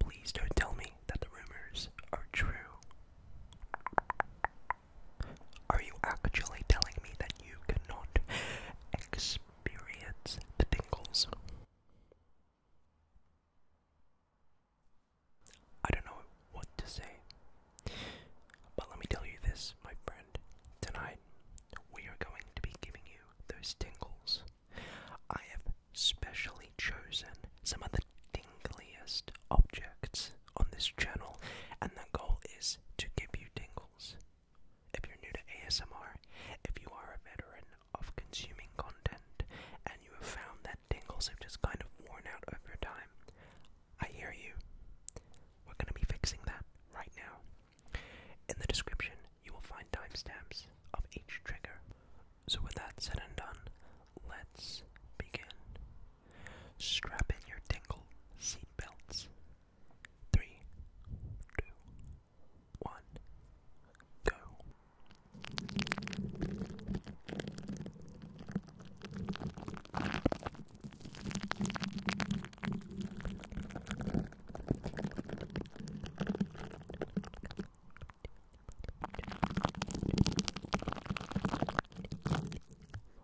Please don't tell me that the rumors are true. Are you actually telling me that you cannot experience the tingles? I don't know what to say. But let me tell you this, my friend. Tonight, we are going to be giving you those tingles. I have specially chosen some of the tingliest objects on this channel, and the goal is to give you tingles. If you're new to ASMR, if you are a veteran of consuming content, and you have found that tingles have just kind of worn out over time, I hear you. We're going to be fixing that right now. In the description, you will find timestamps of each trigger. So, with that said and done, let's begin. Strap in your tingle seat belts. Three, two, one, go.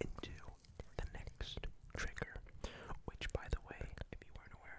Into the next trigger, which, by the way, if you weren't aware,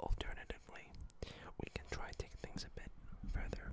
Alternatively, we can try taking things a bit further.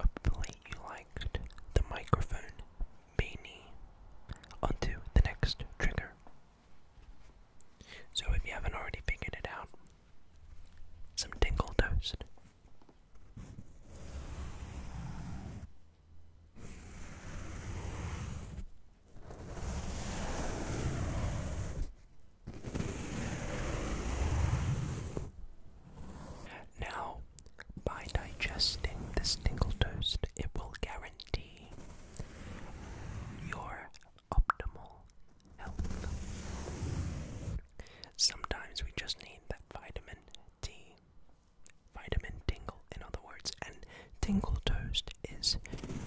Hopefully you liked the microphone beanie. On the next trigger. So if you haven't already figured it out, some dingle toast. Now, by digesting this tingle toast, it will guarantee your optimal health. Sometimes we just need that vitamin D, vitamin tingle, in other words, and Tingle Toast is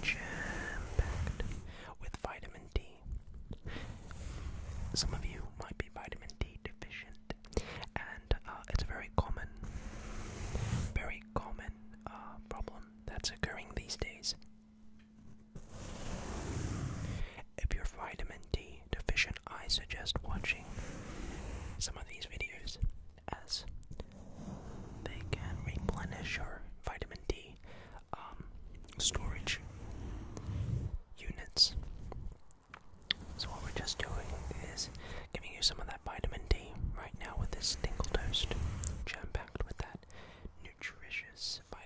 jam packed with vitamin D. Some of you might be vitamin D deficient, and uh, it's a very common, very common uh, problem that's occurring these days. If you're vitamin D deficient, I suggest watching some of these videos as they can replenish your vitamin D um, storage units. So, what we're just doing is giving you some of that vitamin D right now with this Tingle Toast, jam packed with that nutritious vitamin.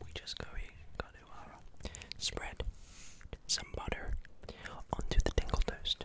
we just going to uh, spread some butter onto the dingle toast.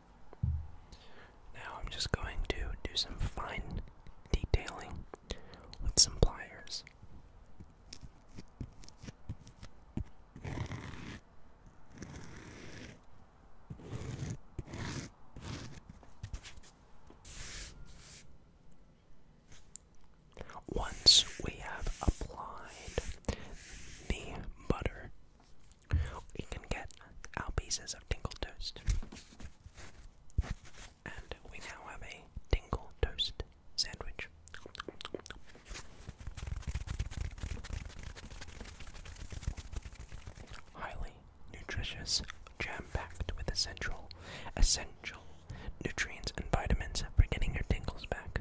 Now I'm just going to do some fine detailing with some pliers. Once we have applied the butter we can get our pieces of tingle toast. And we now have a tingle toast sandwich. Highly nutritious, jam-packed with essential, essential nutrients and vitamins for getting your tingles back.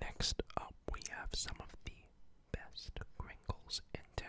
Next up, we have some of the best crinkles in town.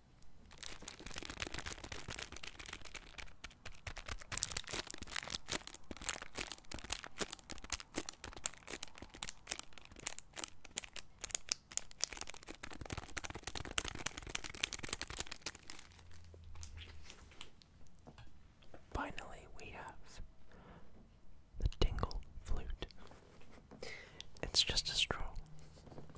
Finally, we have the Tingle Flute. It's just a straw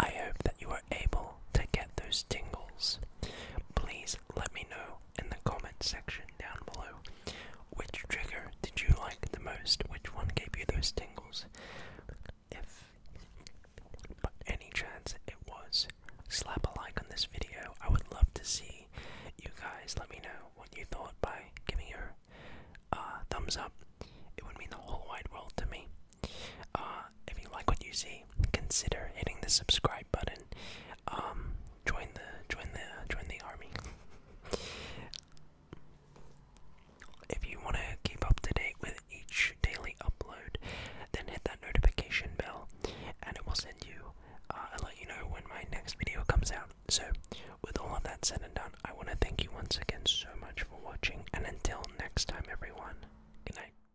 I hope that you are able to get those tingles, please let me know in the comment section down below which trigger did you like the most, which one gave you those tingles. If by any chance it was, slap a like on this video. I would love to see you guys. Let me know what you thought by giving your uh, thumbs up. It would mean the whole wide world to me. Uh, if you like what you see, consider hitting the subscribe button. Um, join the join the join the army. If you want to keep up to date with each daily upload, then hit that notification bell, and it will send you. I'll uh, let you know when my next video comes out. So, with all of that said and done, I want to thank you once again so much for watching, and until next time, everyone, good night.